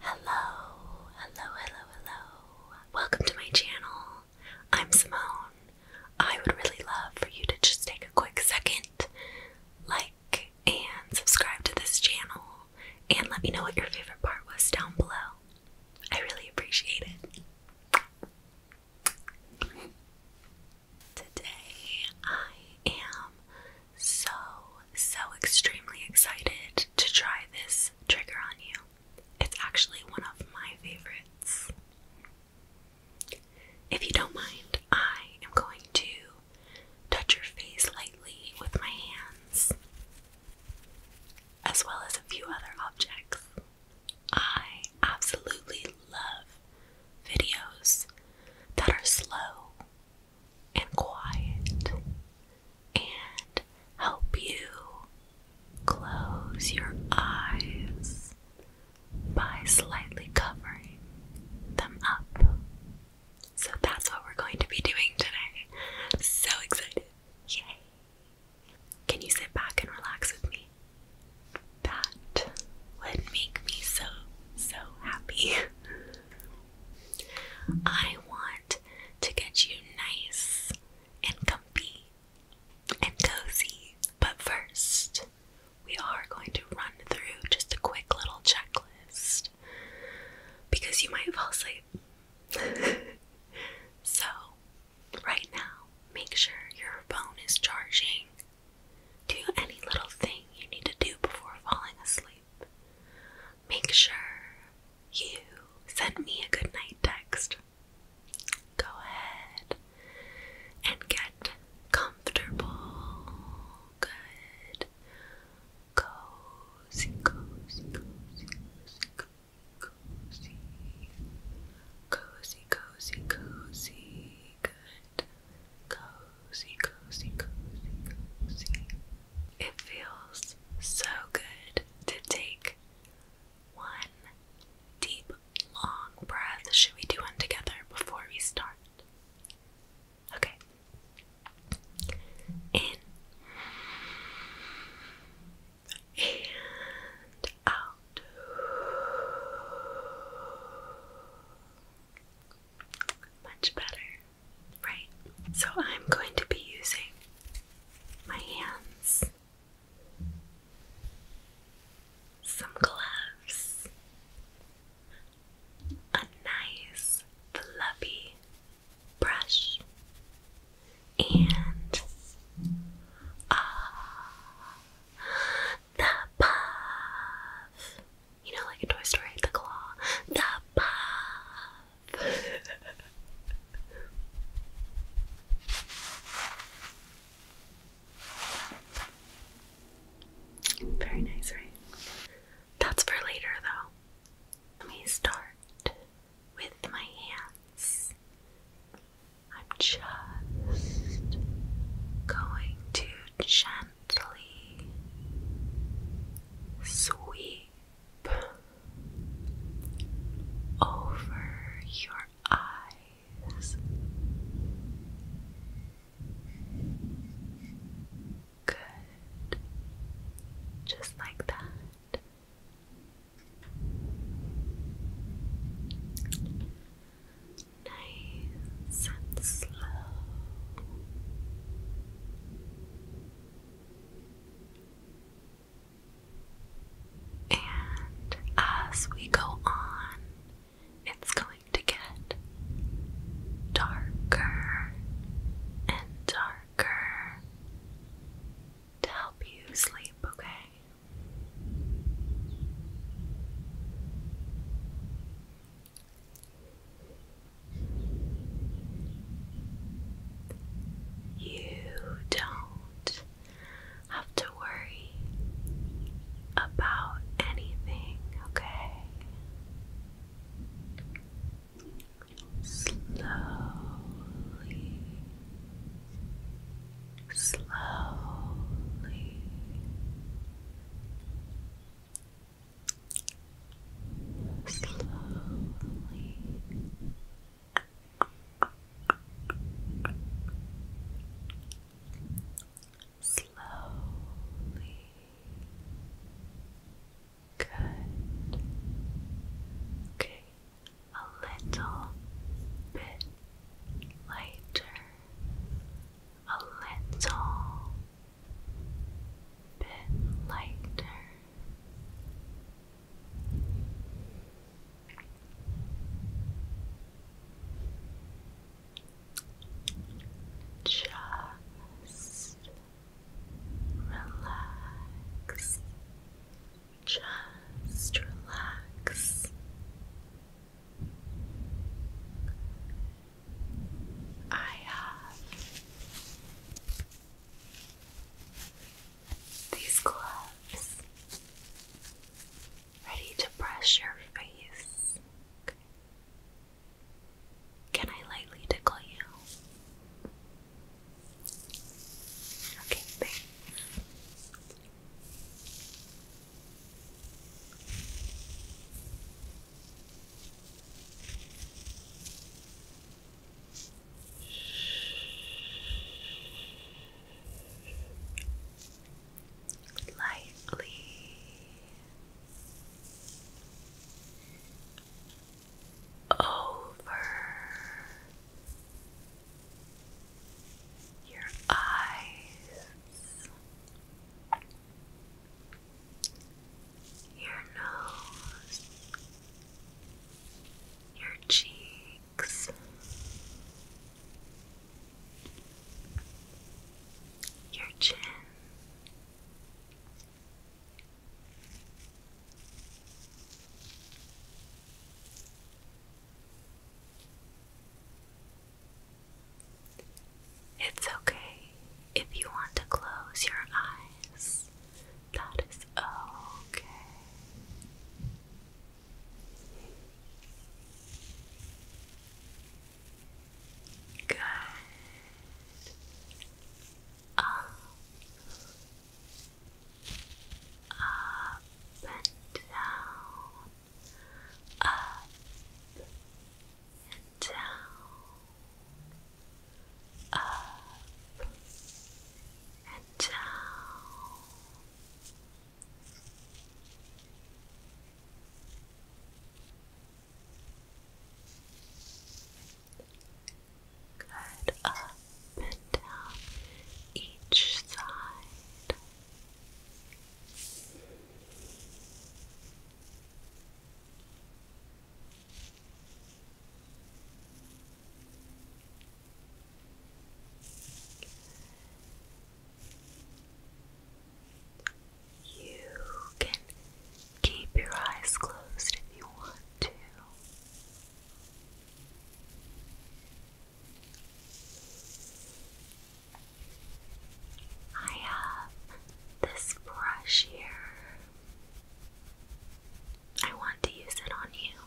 Hello, hello, hello, hello. Welcome to my channel. I'm Simone. I would really love for you to just take a quick second, like, and subscribe to this channel, and let me know what your favorite part was down below. I really appreciate it. Today I am so, so extremely excited to try this trigger on you. It's actually one of my favorites. If you don't mind, I am going to touch your face lightly with my hands, as well as a few other objects. I absolutely love videos that are slow and quiet and help you close your eyes by slightly covering them up. So that's what we're going to be doing today. So excited! Yay! Can you sit back and relax with me? That would make me so, so happy. I want to get you nice and comfy and cozy. But first, we are going to run through just a quick little checklist because you might fall asleep. so, right now, make sure your phone is charging. Do any little thing you need to do before falling asleep. Make sure you send me a good night text. Go ahead and get comfortable, good, cozy, cozy, cozy, cozy, cozy, cozy, cozy, cozy, good, cozy, cozy, cozy, cozy. It feels so good to take one deep, long breath. Should we do one together before we start? Okay. In and out. Much better. Right, so I'm going to be using my hands, some gloves, a nice fluffy brush, and uh, the puff. You know, like in Toy Story, the claw, the puff. Very nice, right? That's for later, though. Let me start with my hands. I'm just going to gently sweep Sweep over your eyes. Good. Just like that. Nice and slow. And as we go on, it's going to get darker and darker to help you sleep, okay? You don't have to worry about anything, okay? Slowly, slowly slowly slowly good okay a little bit lighter a little bit lighter just relax. Just relax. I have these gloves ready to brush your face. Can I lightly tickle you? Okay, thanks lightly over your eyes your nose, your cheeks, your chin. It's okay if you want to close your eyes that is okay. Good. Up, uh, up and down, up and down up and down. Good up and down each side. You can keep your eyes closed if you want to. I have this brush here. I want to use it on you.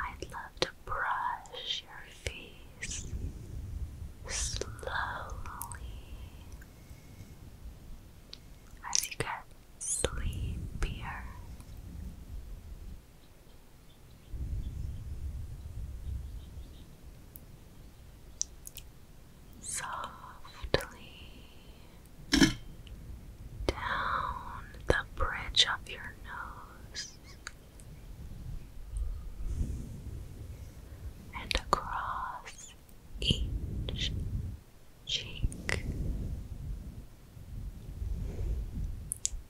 I'd love to brush your face slowly as you get sleepier softly down the bridge of your nose and across each cheek.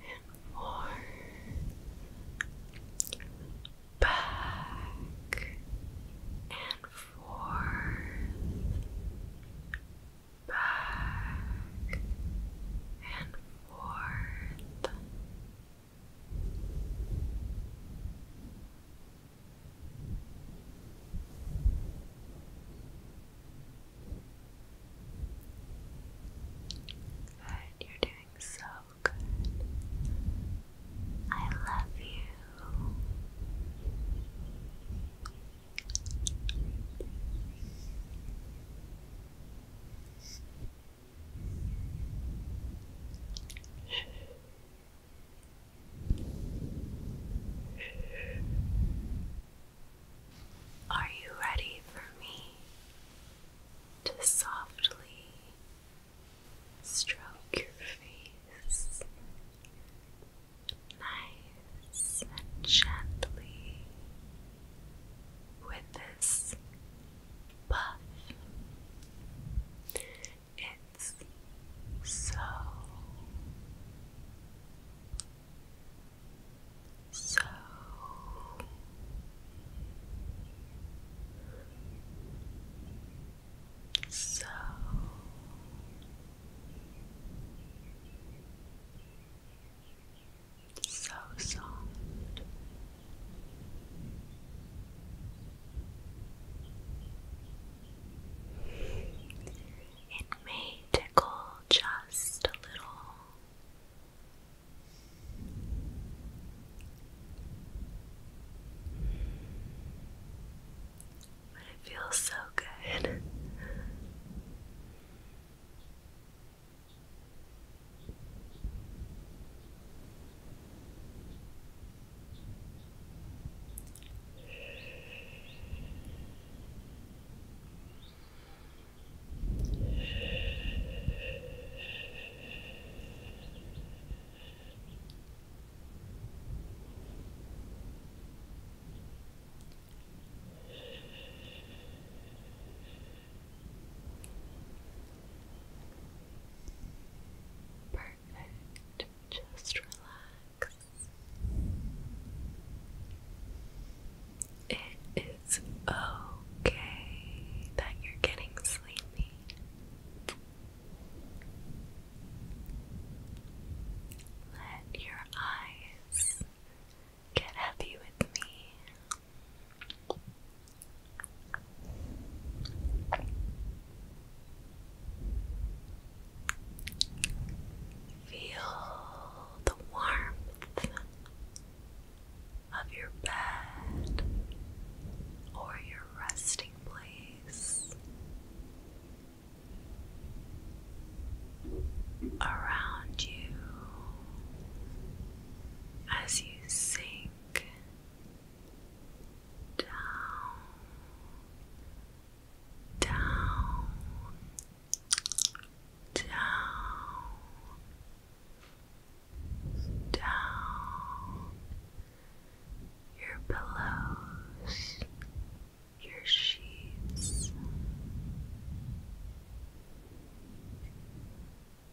and more back and forth back and forth Good, you're doing so good. I love you. Are you ready for me? to softly stroke your face nice and gently with this puff. It's so so so so soft. It may tickle just a little, but it feels so good. Perfect. Just relax. It it's okay that you're getting sleepy. Let your eyes get heavy with me. Feel the warmth of your bed or your resting place. Around you as you sink down, down, down, down your pillows, your sheets,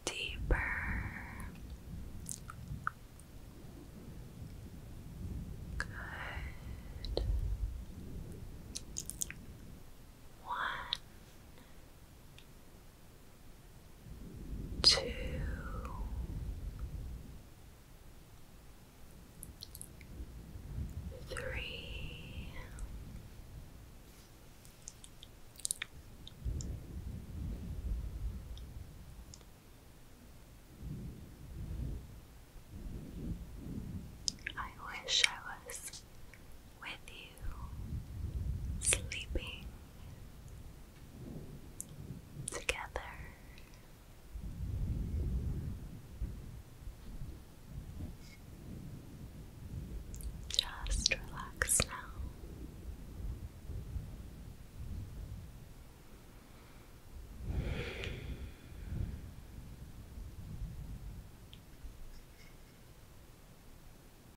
deeper. Good. One, two, three, I wish I was with you, sleeping together. Just relax now.